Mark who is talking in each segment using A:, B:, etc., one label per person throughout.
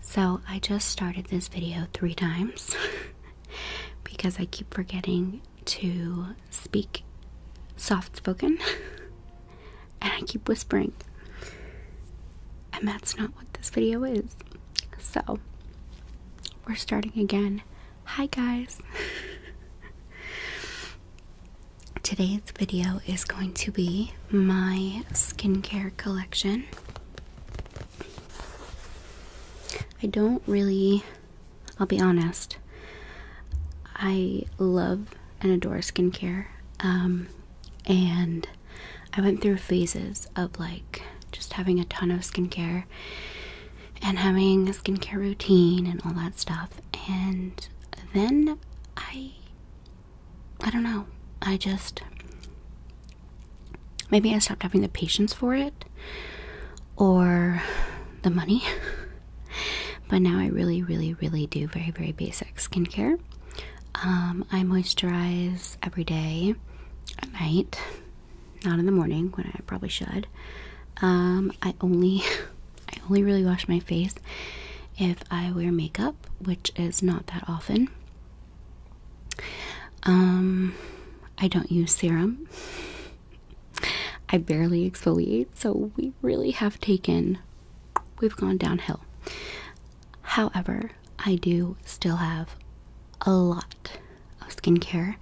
A: So I just started this video three times because I keep forgetting to speak soft spoken and I keep whispering. And that's not what this video is. So we're starting again. Hi guys. Today's video is going to be my skincare collection. I don't really, I'll be honest, I love and adore skincare. Um, and I went through phases of like just having a ton of skincare and having a skincare routine and all that stuff. And then I I don't know. I just maybe I stopped having the patience for it or the money. but now I really, really, really do very, very basic skincare. Um, I moisturize every day at night, not in the morning when I probably should. Um, I only, I only really wash my face if I wear makeup, which is not that often. Um, I don't use serum. I barely exfoliate, so we really have taken, we've gone downhill. However, I do still have a lot of skincare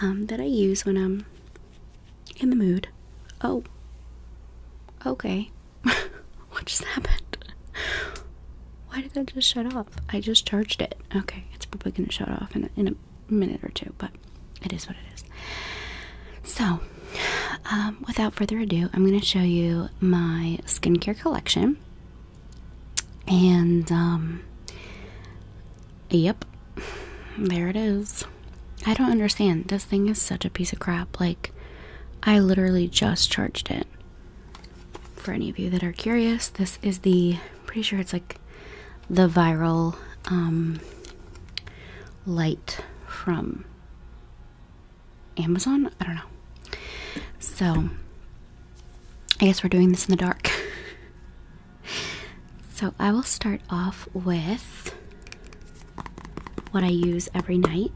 A: um, that I use when I'm in the mood. Oh, okay. what just happened? Why did that just shut off? I just charged it. Okay, it's probably gonna shut off in a, in a minute or two, but it is what it is. So, um, without further ado, I'm gonna show you my skincare collection. And, um, yep, there it is. I don't understand. This thing is such a piece of crap. Like, I literally just charged it for any of you that are curious, this is the pretty sure it's like the viral um, light from Amazon. I don't know. So I guess we're doing this in the dark. so I will start off with what I use every night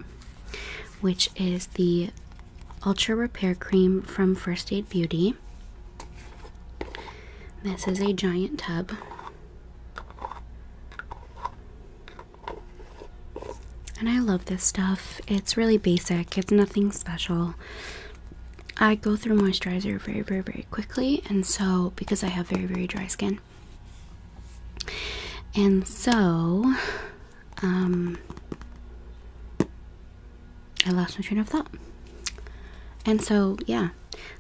A: which is the Ultra Repair Cream from First Aid Beauty. This is a giant tub. And I love this stuff. It's really basic, it's nothing special. I go through moisturizer very, very, very quickly, and so because I have very, very dry skin. And so I lost my train of thought. And so, yeah,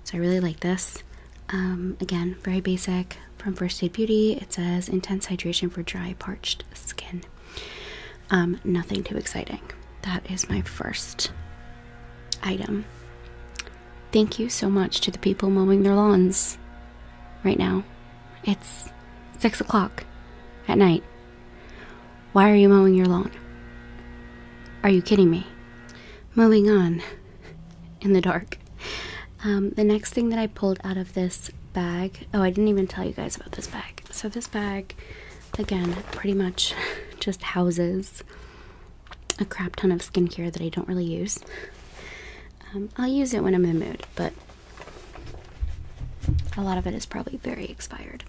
A: so I really like this. Um, again, very basic from First Aid Beauty. It says intense hydration for dry, parched skin. Um, nothing too exciting. That is my first item. Thank you so much to the people mowing their lawns right now. It's six o'clock at night. Why are you mowing your lawn? Are you kidding me? Moving on in the dark. Um, the next thing that I pulled out of this bag, oh, I didn't even tell you guys about this bag. So, this bag, again, pretty much just houses a crap ton of skincare that I don't really use. Um, I'll use it when I'm in the mood, but a lot of it is probably very expired.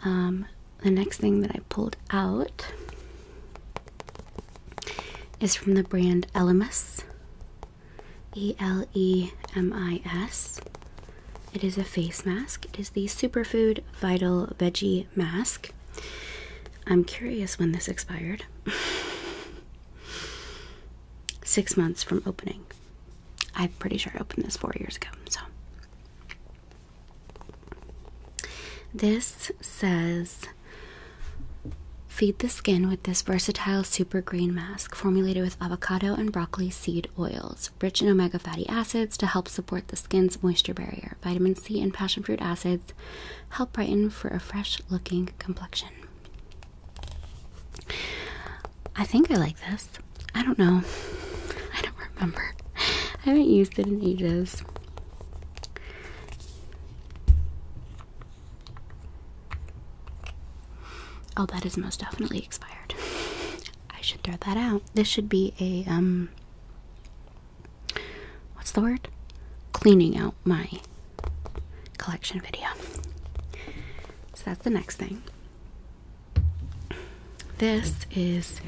A: Um, the next thing that I pulled out is from the brand Elemis. E L E M I S. It is a face mask. It is the Superfood Vital Veggie Mask. I'm curious when this expired. six months from opening. I'm pretty sure I opened this four years ago. So this says feed the skin with this versatile super green mask formulated with avocado and broccoli seed oils, rich in omega fatty acids to help support the skin's moisture barrier. Vitamin C and passion fruit acids help brighten for a fresh looking complexion. I think I like this. I don't know. I don't remember. I haven't used it in ages. Oh, that is most definitely expired. I should throw that out. This should be a um what's the word? Cleaning out my collection video. So that's the next thing. This is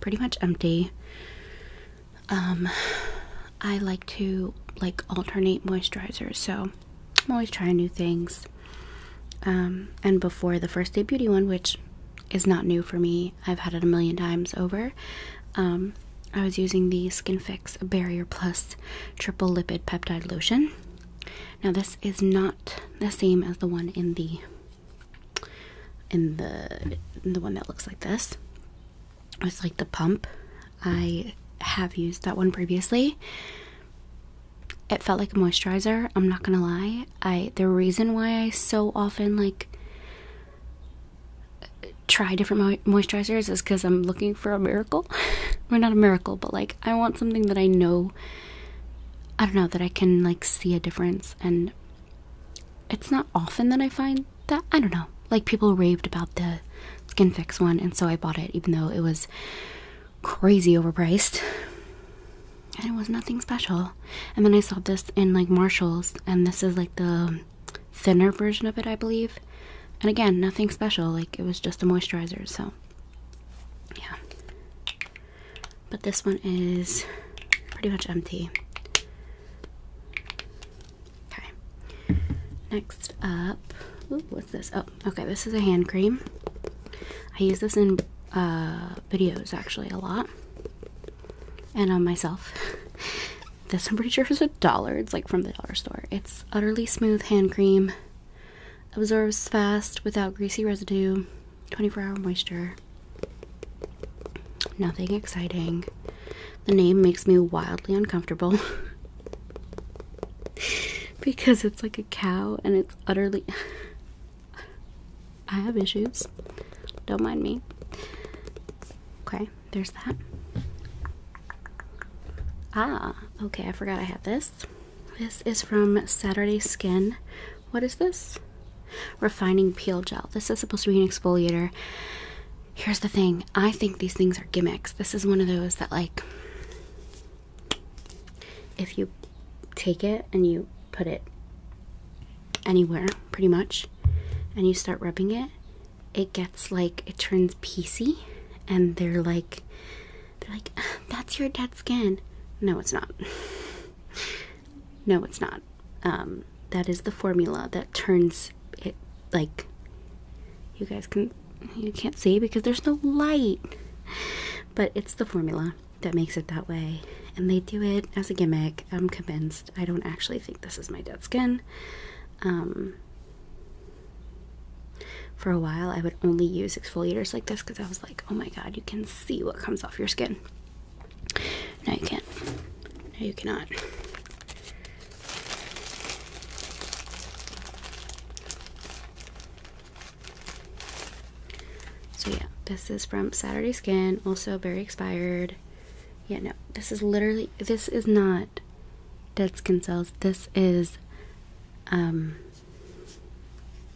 A: pretty much empty. Um, I like to like alternate moisturizers, so I'm always trying new things. Um, and before the first day beauty one, which is not new for me, I've had it a million times over. Um, I was using the Skin Fix Barrier Plus triple lipid peptide lotion. Now this is not the same as the one in the in the the one that looks like this. It's like the pump. I have used that one previously. It felt like a moisturizer, I'm not going to lie. I the reason why I so often like try different moisturizers is cuz I'm looking for a miracle. or not a miracle, but like I want something that I know. I don't know that I can like see a difference, and it's not often that I find that. I don't know. Like people raved about the skin fix one, and so I bought it, even though it was crazy overpriced, and it was nothing special. And then I saw this in like Marshalls, and this is like the thinner version of it, I believe. And again, nothing special, like it was just a moisturizer, so yeah. But this one is pretty much empty. Okay. Next up, ooh, what's this? Oh, okay, this is a hand cream. I use this in uh, videos actually a lot, and on myself. this I'm pretty sure is a dollar. It's like from the dollar store. It's utterly smooth hand cream absorbs fast without greasy residue. 24 hour moisture. Nothing exciting. The name makes me wildly uncomfortable because it's like a cow and it's utterly. I have issues. Don't mind me. Okay, there's that. Ah, okay, I forgot I had this. This is from Saturday Skin. What is this? Refining Peel Gel. This is supposed to be an exfoliator. Here's the thing I think these things are gimmicks. This is one of those that, like, if you take it and you put it anywhere pretty much and you start rubbing it, it gets like it turns PC and they're like they're like that's your dead skin. No, it's not. no, it's not. Um that is the formula that turns it like you guys can you can't see because there's no light. But it's the formula that makes it that way and they do it as a gimmick. I'm convinced. I don't actually think this is my dead skin. Um, for a while, I would only use exfoliators like this because I was like, oh my god, you can see what comes off your skin. No, you can't. No, you cannot. So, yeah, this is from Saturday Skin, also very expired. Yeah, no, this is literally, this is not dead skin cells. This is um,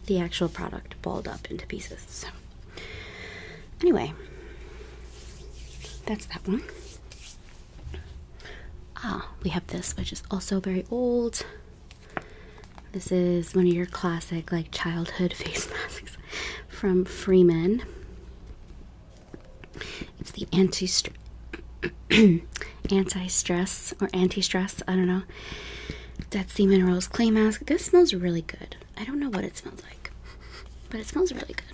A: the actual product balled up into pieces. So, anyway, that's that one. Ah, we have this, which is also very old. This is one of your classic, like, childhood face masks from Freeman. It's the anti stress or anti stress. I don't know. Dead Sea Minerals clay mask. This smells really good. I don't know what it smells like, but it smells really good.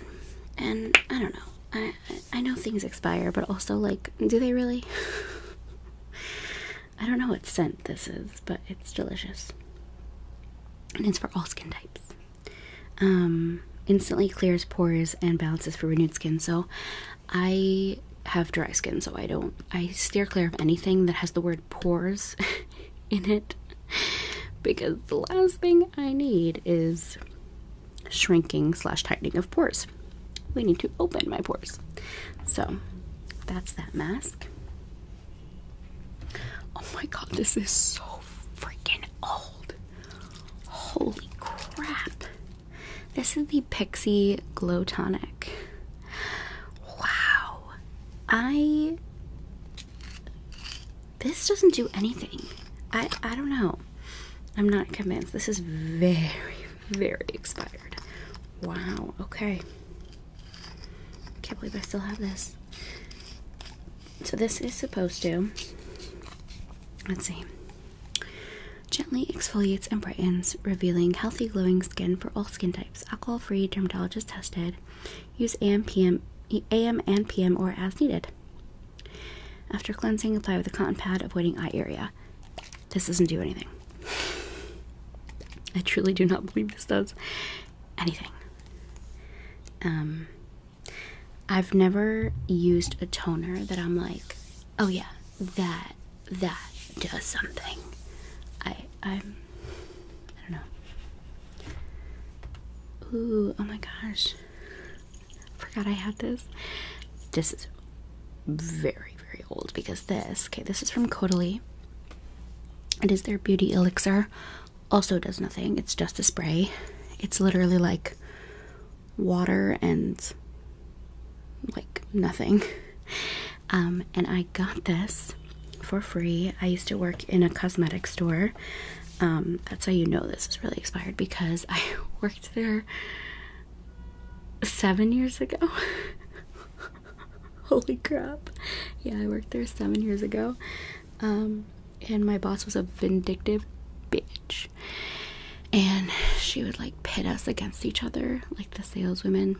A: And I don't know. I I, I know things expire, but also like, do they really? I don't know what scent this is, but it's delicious. And it's for all skin types. Um, instantly clears pores and balances for renewed skin. So I have dry skin, so I don't, I steer clear of anything that has the word pores in it because the last thing I need is shrinking slash tightening of pores. We need to open my pores. So that's that mask. Oh my god, this is so freaking old. Holy crap. This is the Pixie Glow Tonic. Wow. I this doesn't do anything. I I don't know. I'm not convinced. This is very very expired. Wow. Okay. Can't believe I still have this. So this is supposed to. Let's see. Gently exfoliates and brightens, revealing healthy, glowing skin for all skin types. Alcohol free, dermatologist tested. Use AM, PM, AM and PM or as needed. After cleansing, apply with a cotton pad, avoiding eye area. This doesn't do anything. I truly do not believe this does anything. Um, I've never used a toner that I'm like, oh yeah, that that does something. I I'm I am do not know. Ooh, oh my gosh. Forgot I had this. This is very, very old because this, okay, this is from Caudalie. It is their beauty elixir. Also does nothing. It's just a spray. It's literally like water and like nothing. Um, and I got this for free. I used to work in a cosmetic store. Um, that's how you know this is really expired because I worked there seven years ago. Holy crap. Yeah, I worked there seven years ago. Um, and my boss was a vindictive bitch. And she would like pit us against each other, like the saleswomen.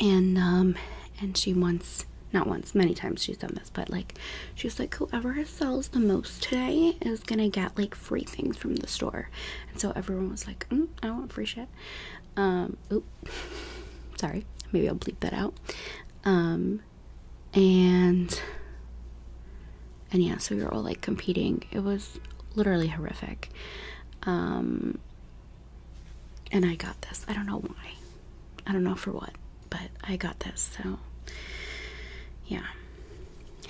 A: And um and she once not once, many times she's done this, but like she was like whoever sells the most today is gonna get like free things from the store. And so everyone was like, mm, I want free shit. Um oop sorry, maybe I'll bleep that out. Um and and yeah, so we were all like competing. It was literally horrific. Um, and I got this. I don't know why. I don't know for what, but I got this. So yeah.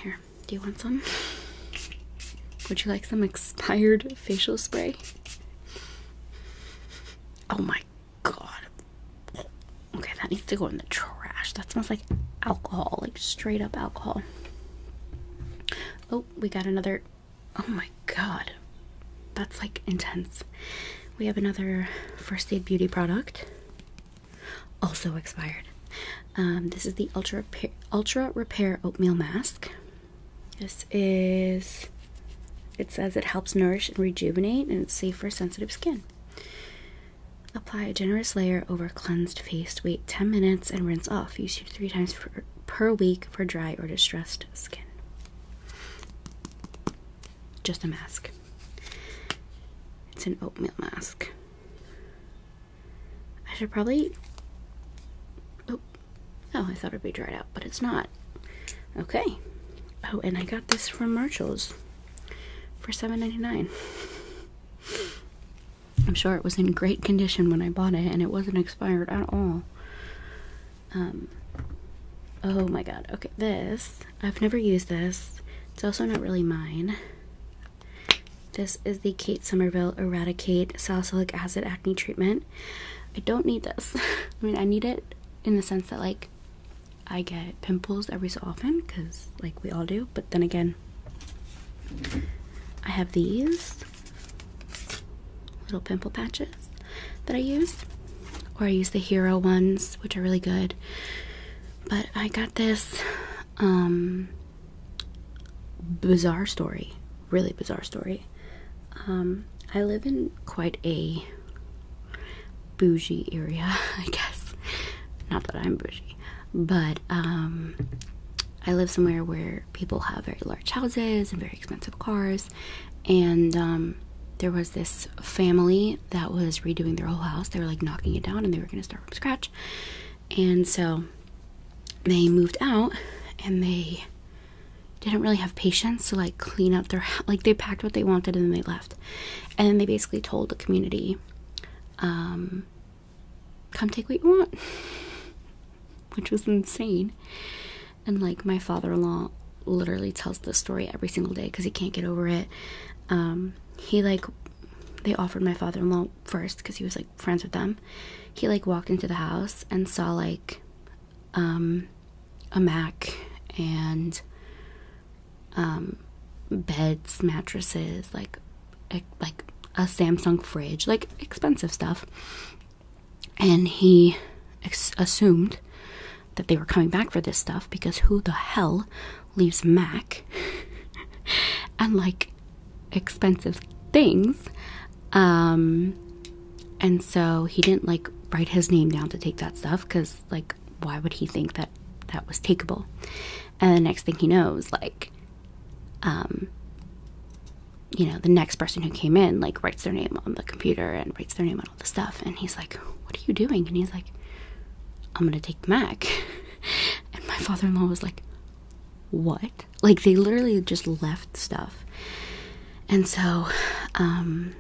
A: Here, do you want some? Would you like some expired facial spray? Oh my god. Okay, that needs to go in the trash. That smells like alcohol, like straight up alcohol. Oh, we got another. Oh my god. That's like intense. We have another first aid beauty product. Also expired. Um, this is the Ultra Repair, Ultra Repair Oatmeal Mask. This is, it says it helps nourish and rejuvenate and it's safe for sensitive skin. Apply a generous layer over cleansed face. Wait 10 minutes and rinse off. Use two to three times per, week for dry or distressed skin. Just a mask. It's an oatmeal mask. I should probably. Oh, oh, I thought it'd be dried out, but it's not. Okay. Oh, and I got this from Marshall's for $7.99. I'm sure it was in great condition when I bought it and it wasn't expired at all. Um, oh my god. Okay, this. I've never used this. It's also not really mine. This is the Kate Somerville Eradicate Salicylic Acid Acne Treatment. I don't need this. I mean, I need it in the sense that, like, I get pimples every so often because, like, we all do. But then again, I have these little pimple patches that I use, or I use the Hero ones, which are really good. But I got this um, bizarre story, really bizarre story. Um, I live in quite a bougie area, I guess. Not that I'm bougie, but um, I live somewhere where people have very large houses and very expensive cars, and um, there was this family that was redoing their whole house. They were like knocking it down and they were going to start from scratch, and so they moved out and they didn't really have patience to like clean up their like they packed what they wanted and then they left and then they basically told the community um, come take what you want, which was insane. And like my father-in-law literally tells the story every single day because he can't get over it. Um, he like they offered my father-in-law first because he was like friends with them. He like walked into the house and saw like um a Mac and um, beds, mattresses, like like a Samsung fridge, like expensive stuff. And he assumed that they were coming back for this stuff because who the hell leaves Mac and like expensive things? Um, and so he didn't like write his name down to take that stuff because like why would he think that that was takeable and the next thing he knows like um you know the next person who came in like writes their name on the computer and writes their name on all the stuff and he's like what are you doing and he's like i'm gonna take the mac and my father-in-law was like what like they literally just left stuff and so um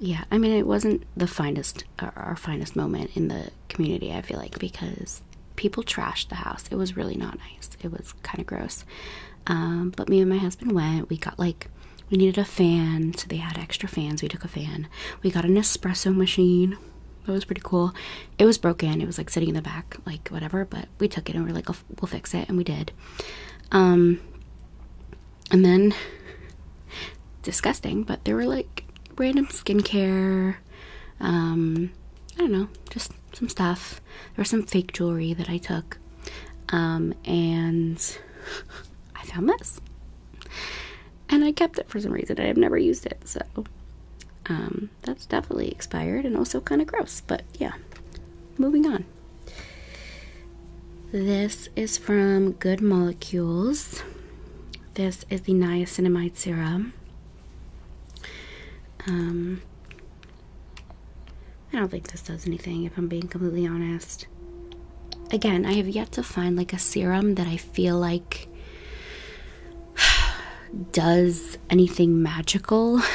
A: yeah i mean it wasn't the finest our finest moment in the community, I feel like, because people trashed the house. It was really not nice. It was kind of gross. Um, but me and my husband went. We got like, we needed a fan, so they had extra fans. We took a fan. We got an espresso machine. That was pretty cool. It was broken. It was like sitting in the back, like whatever, but we took it and we are like, oh, we'll fix it. And we did. Um, and then disgusting, but there were like random skincare, um, I don't know, just some stuff. There was some fake jewelry that I took, um, and I found this. And I kept it for some reason. I've never used it, so um, that's definitely expired and also kind of gross, but yeah. Moving on. This is from Good Molecules. This is the niacinamide serum. Um, I don't think this does anything if I'm being completely honest. Again, I have yet to find like a serum that I feel like does anything magical.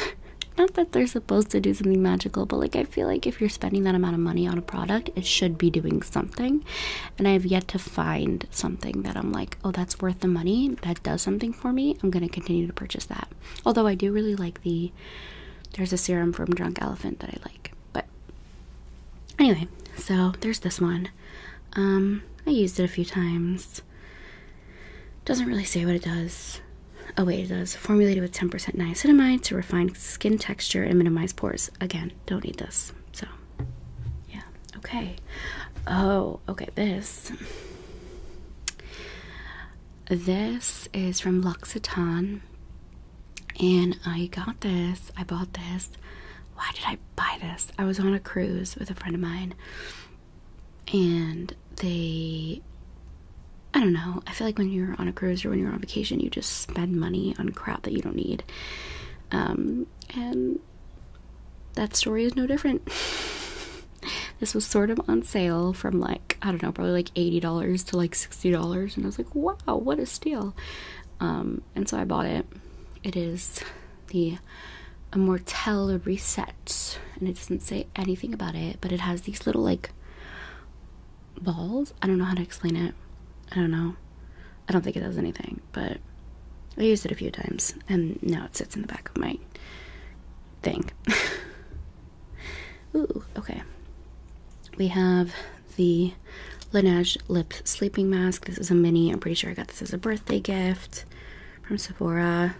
A: Not that they're supposed to do something magical, but like I feel like if you're spending that amount of money on a product, it should be doing something and I have yet to find something that I'm like, oh, that's worth the money. That does something for me. I'm gonna continue to purchase that. Although I do really like the there's a serum from Drunk Elephant that I like. But anyway, so there's this one. Um, I used it a few times. Doesn't really say what it does. Oh wait, it does. Formulated with 10% niacinamide to refine skin texture and minimize pores. Again, don't need this. So yeah, okay. Oh, okay, this. This is from L'Occitane. And I got this. I bought this. Why did I buy this? I was on a cruise with a friend of mine. And they. I don't know. I feel like when you're on a cruise or when you're on vacation, you just spend money on crap that you don't need. Um, and that story is no different. this was sort of on sale from like, I don't know, probably like $80 to like $60. And I was like, wow, what a steal. Um, and so I bought it. It is the Immortelle Reset. And it doesn't say anything about it, but it has these little like balls. I don't know how to explain it. I don't know. I don't think it does anything, but I used it a few times and now it sits in the back of my thing. Ooh, okay. We have the Laneige Lip Sleeping Mask. This is a mini. I'm pretty sure I got this as a birthday gift from Sephora.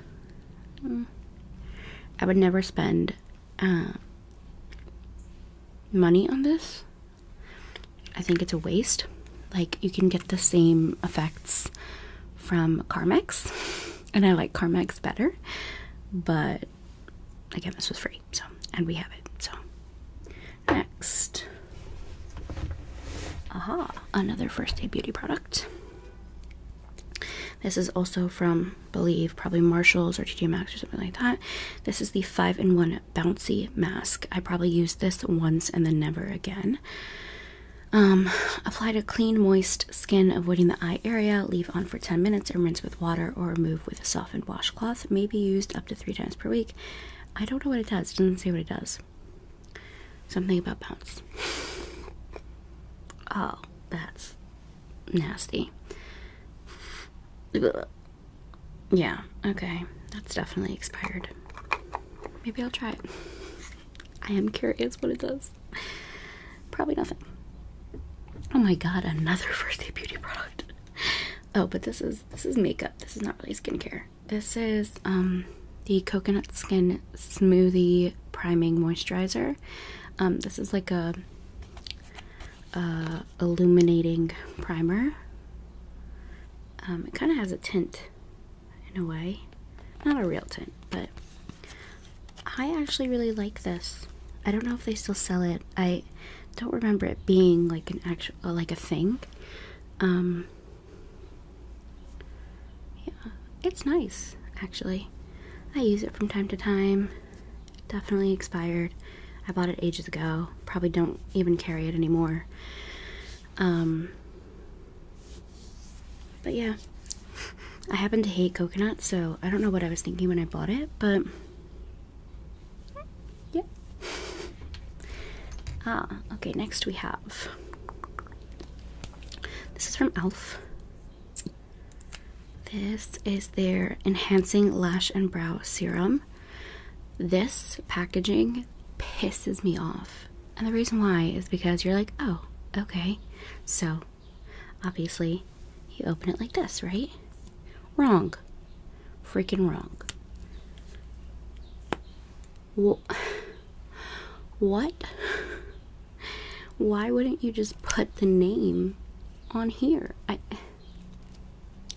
A: Mm. I would never spend uh, money on this. I think it's a waste. Like, you can get the same effects from Carmex, and I like Carmex better, but again, this was free, so and we have it. So, next, aha, another first day beauty product. This is also from, believe, probably Marshalls or TJ Maxx or something like that. This is the five in one bouncy mask. I probably used this once and then never again. Um, apply to clean, moist skin, avoiding the eye area. Leave on for 10 minutes and rinse with water or remove with a softened washcloth. May be used up to three times per week. I don't know what it does. doesn't say what it does. Something about bounce. Oh, that's nasty. Yeah, okay. That's definitely expired. Maybe I'll try it. I am curious what it does. Probably nothing. Oh my god, another first day beauty product. Oh, but this is this is makeup. This is not really skincare. This is um the coconut skin smoothie priming moisturizer. Um this is like a uh, illuminating primer. Um, it kind of has a tint in a way. Not a real tint, but I actually really like this. I don't know if they still sell it. I don't remember it being like an actual uh, like a thing. Um, yeah, it's nice actually. I use it from time to time. Definitely expired. I bought it ages ago. Probably don't even carry it anymore. Um, but yeah, I happen to hate coconut, so I don't know what I was thinking when I bought it, but yeah. Ah, okay, next we have. This is from e.l.f. This is their Enhancing Lash and Brow Serum. This packaging pisses me off. And the reason why is because you're like, oh, okay. So obviously you open it like this, right? Wrong. Freaking wrong. what? Why wouldn't you just put the name on here?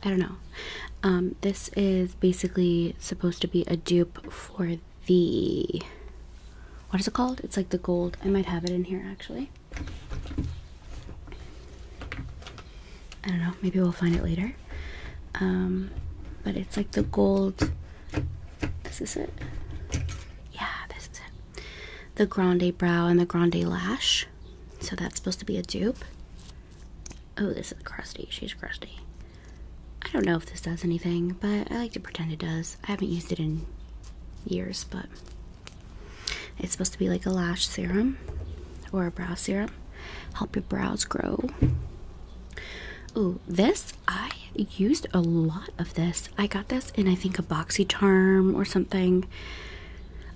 A: I don't know. Um, this is basically supposed to be a dupe for the what is it called? It's like the gold. I might have it in here actually. I don't know. Maybe we'll find it later. Um, but it's like the gold. This is it. Yeah, this is it. The grande brow and the grande lash. So that's supposed to be a dupe. Oh, this is crusty. She's crusty. I don't know if this does anything, but I like to pretend it does. I haven't used it in years, but it's supposed to be like a lash serum or a brow serum. Help your brows grow. Oh, this I used a lot of this. I got this in I think a boxy charm or something.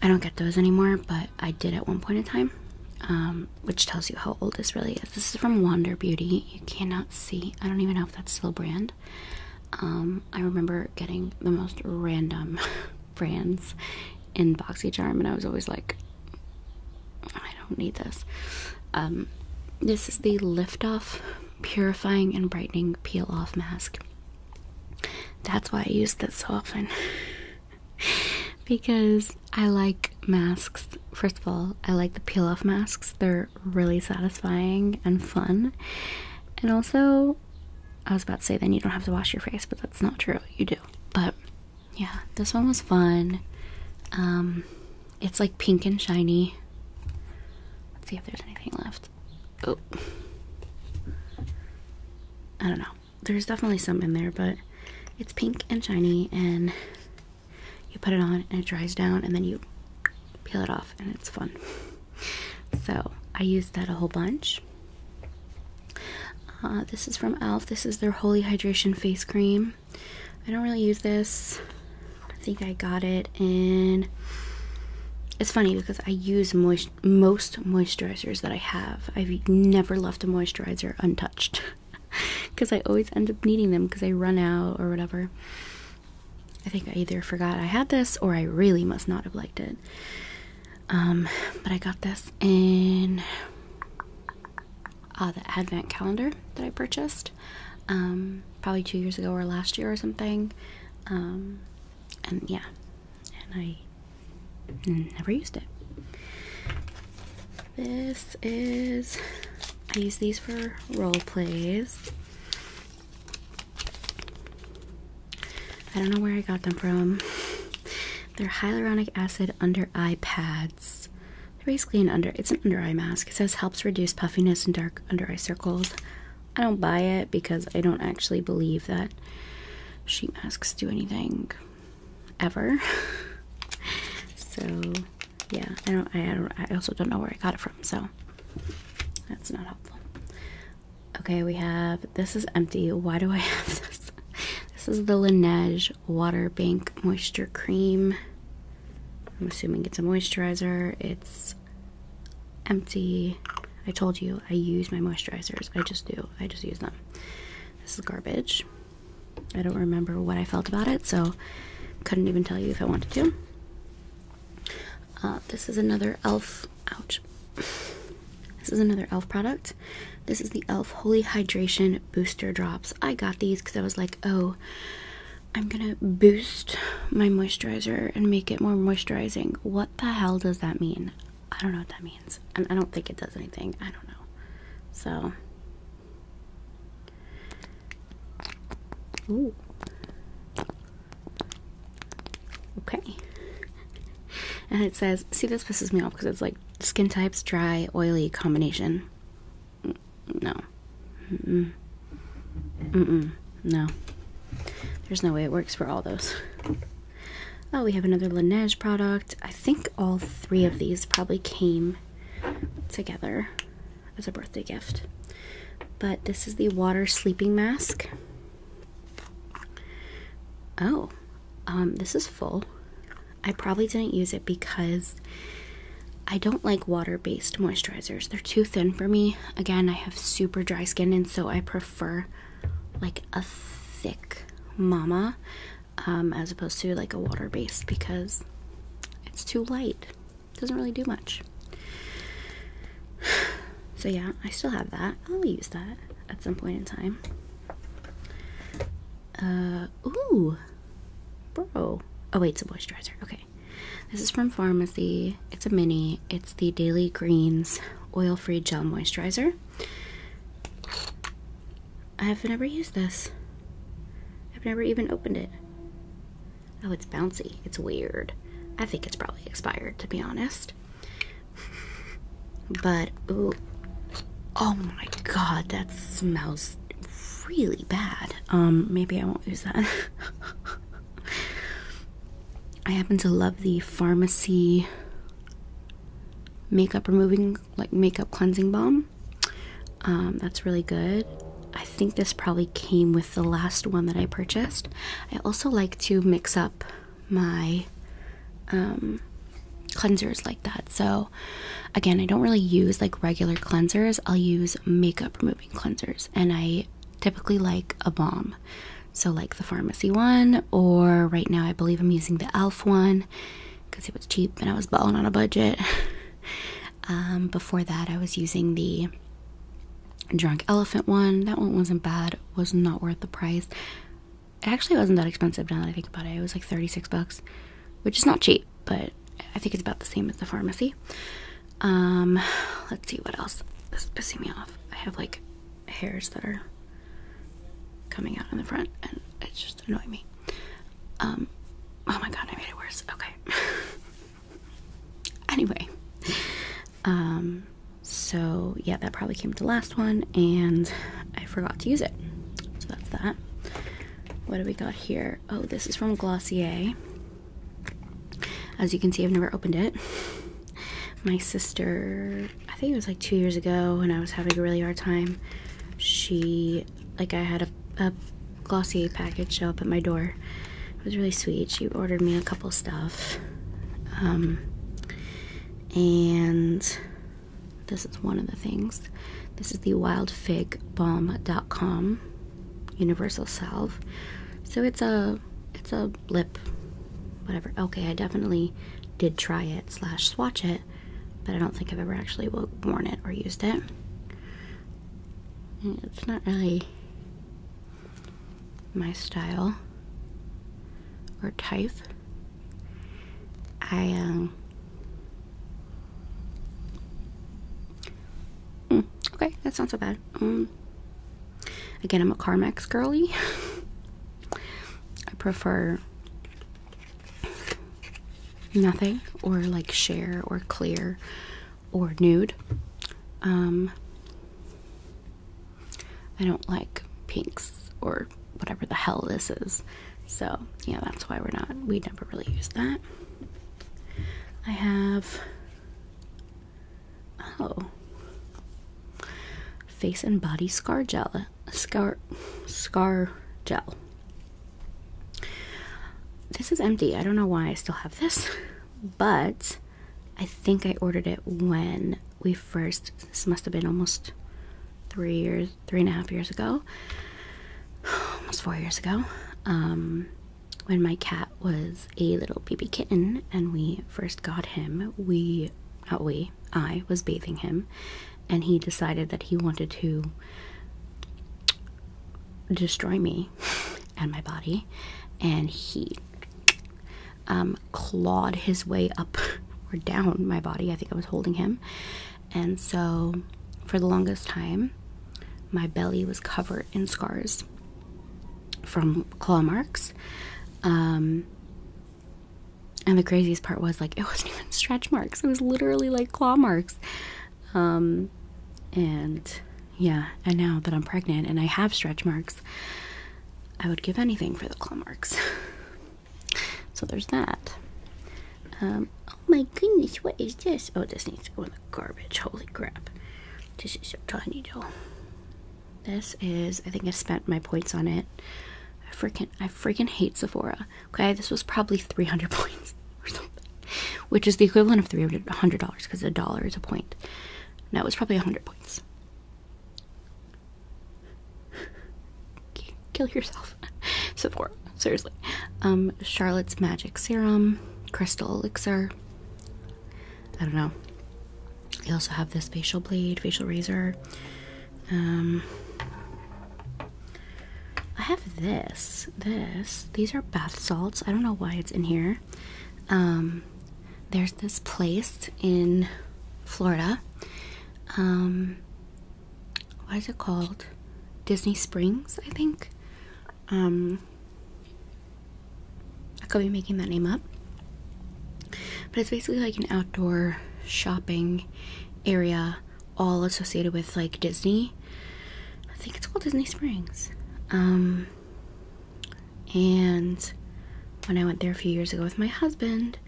A: I don't get those anymore, but I did at one point in time, um, which tells you how old this really is. This is from Wander Beauty. You cannot see. I don't even know if that's still a brand. Um, I remember getting the most random brands in BoxyCharm, and I was always like, I don't need this. Um, this is the Lift Off Purifying and Brightening Peel Off Mask. That's why I use this so often. because I like masks. First of all, I like the peel off masks, they're really satisfying and fun. And also, I was about to say, then you don't have to wash your face, but that's not true, you do. But yeah, this one was fun. Um, it's like pink and shiny. Let's see if there's anything left. Oh, I don't know there's definitely some in there, but it's pink and shiny, and you put it on and it dries down, and then you peel it off, and it's fun. So I used that a whole bunch. Uh, this is from e.l.f. This is their Holy Hydration Face Cream. I don't really use this. I think I got it and It's funny because I use moisturizer most moisturizers that I have. I've never left a moisturizer untouched because I always end up needing them because I run out or whatever. I think I either forgot I had this or I really must not have liked it. Um, but I got this in uh, the advent calendar that I purchased um, probably two years ago or last year or something. Um, and yeah, and I never used it. This is, I use these for role plays. I don't know where I got them from. They're hyaluronic acid under eye pads. They're basically an under, it's an under eye mask. It says helps reduce puffiness and dark under eye circles. I don't buy it because I don't actually believe that sheet masks do anything ever. so yeah, I don't. I, also don't know where I got it from. So that's not helpful. Okay, we have this is empty. Why do I have this? This is the Laneige Water Bank Moisture Cream. I'm assuming it's a moisturizer. It's empty. I told you I use my moisturizers. I just do. I just use them. This is garbage. I don't remember what I felt about it, so couldn't even tell you if I wanted to. Uh, this is another e.l.f. Ouch. This is another e.l.f. product. This is the e.l.f. Holy Hydration Booster Drops. I got these because I was like, oh, I'm gonna boost my moisturizer and make it more moisturizing. What the hell does that mean? I don't know what that means. I don't think it does anything. I don't know. So. Ooh. Okay. And it says, see, this pisses me off because it's like skin types, dry, oily combination. Mm, no. No. There's no way it works for all those. Oh, we have another Laneige product. I think all three of these probably came together as a birthday gift. But this is the water sleeping mask. Oh, um, this is full. I probably didn't use it because I don't like water-based moisturizers. They're too thin for me. Again, I have super dry skin and so I prefer like a thick mama um, as opposed to like a water based because it's too light, doesn't really do much. So, yeah, I still have that. I'll use that at some point in time. Uh, ooh, bro. Oh, wait, it's a moisturizer. Okay. This is from Pharmacy. It's a mini. It's the Daily Greens Oil Free Gel Moisturizer. I've never used this. I've never even opened it. Oh, it's bouncy. It's weird. I think it's probably expired, to be honest. But, Oh my god, that smells really bad. Um, maybe I won't use that. I happen to love the pharmacy makeup removing like makeup cleansing balm um, that's really good i think this probably came with the last one that i purchased i also like to mix up my um, cleansers like that so again i don't really use like regular cleansers i'll use makeup removing cleansers and i typically like a balm so, like the pharmacy one, or right now I believe I'm using the e.l.f. one because it was cheap and I was balling on a budget. Um, before that, I was using the Drunk Elephant one. That one wasn't bad, was not worth the price. It actually wasn't that expensive now that I think about it. It was like 36 bucks, which is not cheap, but I think it's about the same as the pharmacy. Um, let's see what else. This is pissing me off. I have like hairs that are coming out in the front, and it just annoyed me. Um, oh my god, I made it worse. Okay. anyway, um, so yeah, that probably came to the last one, and I forgot to use it. So that's that. What do we got here? Oh, this is from Glossier. As you can see, I've never opened it my sister i think it was like two years ago when i was having a really hard time she like i had a, a glossier package show up at my door it was really sweet she ordered me a couple stuff um, and this is one of the things this is the wild fig Bomb dot com universal salve so it's a it's a Blip, whatever okay i definitely did try it slash swatch it but i don't think i've ever actually worn it or used it it's not really my style or type i um mm, okay that's not so bad um, again i'm a carmex girly I prefer nothing or like share or clear or nude. Um, I don't like pinks or whatever the hell this is. So, yeah, that's why we're not, we never really use that. I have, oh, face and body scar gel scar scar gel this is empty i don't know why i still have this but i think i ordered it when we first this must have been almost three years three and a half years ago almost four years ago um when my cat was a little baby kitten and we first got him we we, I was bathing him, and he decided that he wanted to destroy me and my body, and he um, clawed his way up or down my body. I think I was holding him, and so for the longest time, my belly was covered in scars from claw marks. Um, and the craziest part was like it wasn't even stretch marks. It was literally like claw marks. Um, and yeah, and now that I'm pregnant and I have stretch marks, I would give anything for the claw marks. so there's that. Um, oh my goodness, what is this? Oh, this needs to go in the garbage. Holy crap. This is a tiny doll. This is, I think I spent my points on it. I freaking, I freaking hate Sephora. Okay, this was probably 300 points or something, which is the equivalent of $300 because a dollar is a point. No, it was probably 100 points. Kill yourself. Sephora, seriously. Um, Charlotte's Magic Serum, Crystal Elixir. I don't know. I also have this facial blade, facial razor. Um, I have this. This. These are bath salts. I don't know why it's in here. Um, there's this place in Florida. Um, what is it called? Disney Springs, I think. I could be making that name up. But it's basically like an outdoor shopping area all associated with like Disney. I think it's called Disney Springs. Um and when I went there a few years ago with my husband,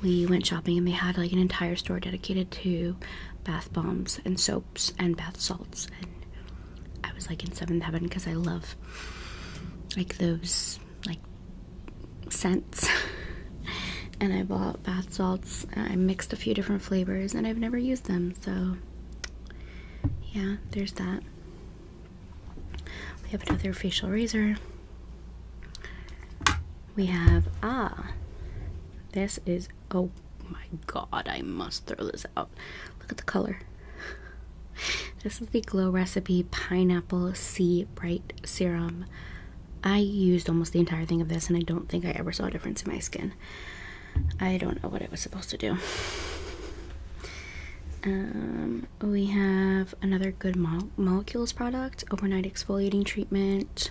A: we went shopping and they had like an entire store dedicated to bath bombs and soaps and bath salts and I was like in seventh heaven because I love like those like scents and I bought bath salts. Uh, I mixed a few different flavors and I've never used them so yeah there's that. We have another facial razor. We have ah this is oh my god I must throw this out. Look at the color. This is the Glow Recipe Pineapple C Bright Serum. I used almost the entire thing of this and I don't think I ever saw a difference in my skin. I don't know what it was supposed to do. Um, we have another Good Molecules product, Overnight Exfoliating Treatment,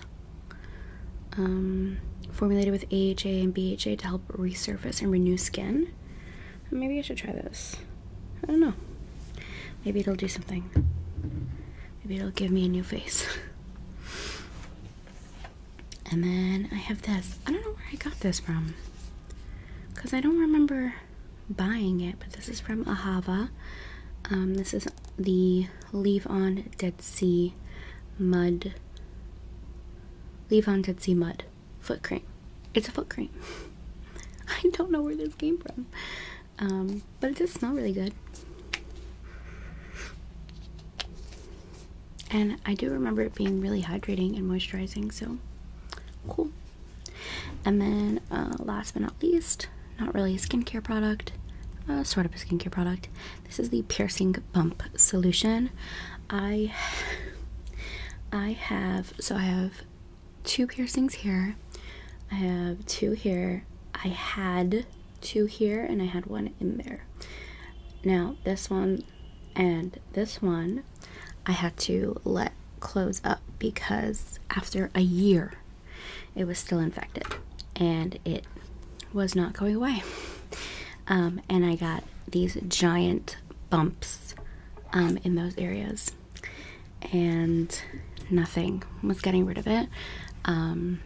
A: um, formulated with AHA and BHA to help resurface and renew skin. Maybe I should try this. I don't know. Maybe it'll do something. Maybe it'll give me a new face. and then I have this. I don't know where I got this from. Because I don't remember buying it, but this is from Ahava. Um, this is the Leave On Dead Sea Mud. Leave On Dead Sea Mud foot cream. It's a foot cream. I don't know where this came from. Um, but it does smell really good. And I do remember it being really hydrating and moisturizing, so cool. And then, uh, last but not least, not really a skincare product, uh, sort of a skincare product. This is the Piercing Bump Solution. I I have so I have two piercings here. I have two here. I had two here, and I had one in there. Now, this one and this one, I had to let close up because after a year, it was still infected and it was not going away. Um, and I got these giant bumps um, in those areas and nothing was getting rid of it. Um,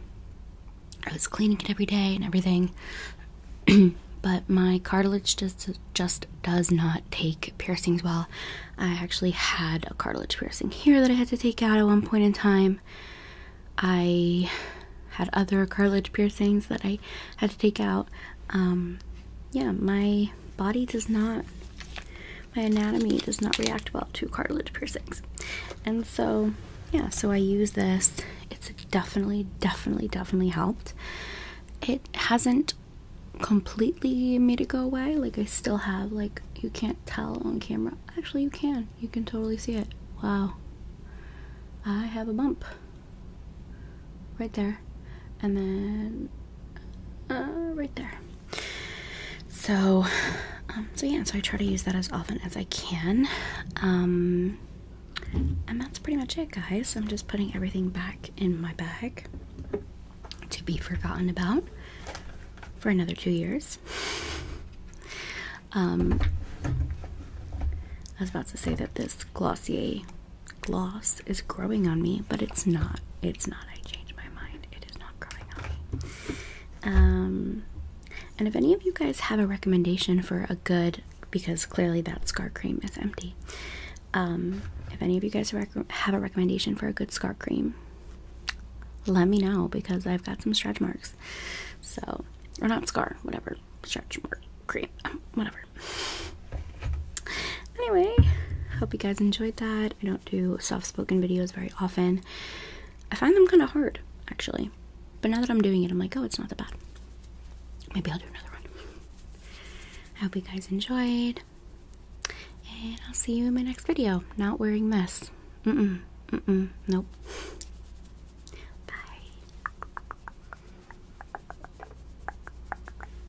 A: I was cleaning it every day and everything, but my cartilage just just does not take piercings well. I actually had a cartilage piercing here that I had to take out at one point in time. I had other cartilage piercings that I had to take out. Um, yeah, my body does not, my anatomy does not react well to cartilage piercings. And so, yeah, so I use this. It's definitely, definitely, definitely helped. It hasn't completely made it go away. Like, I still have, like, you can't tell on camera. Actually, you can. You can totally see it. Wow. I have a bump right there, and then uh, right there. So, um, so yeah, so I try to use that as often as I can. Um, and that's pretty much it, guys. I'm just putting everything back in my bag to be forgotten about for another two years. Um, I was about to say that this Glossier gloss is growing on me, but it's not. It's not. I changed my mind. It is not growing on me. Um, and if any of you guys have a recommendation for a good, because clearly that scar cream is empty. Um, if any of you guys have a recommendation for a good scar cream, let me know because I've got some stretch marks. So, or not scar, whatever, stretch mark cream, whatever. Anyway, hope you guys enjoyed that. I don't do soft spoken videos very often. I find them kind of hard, actually. But now that I'm doing it, I'm like, oh, it's not that bad. Maybe I'll do another one. I hope you guys enjoyed. And I'll see you in my next video. Not wearing this. mm Nope. Bye.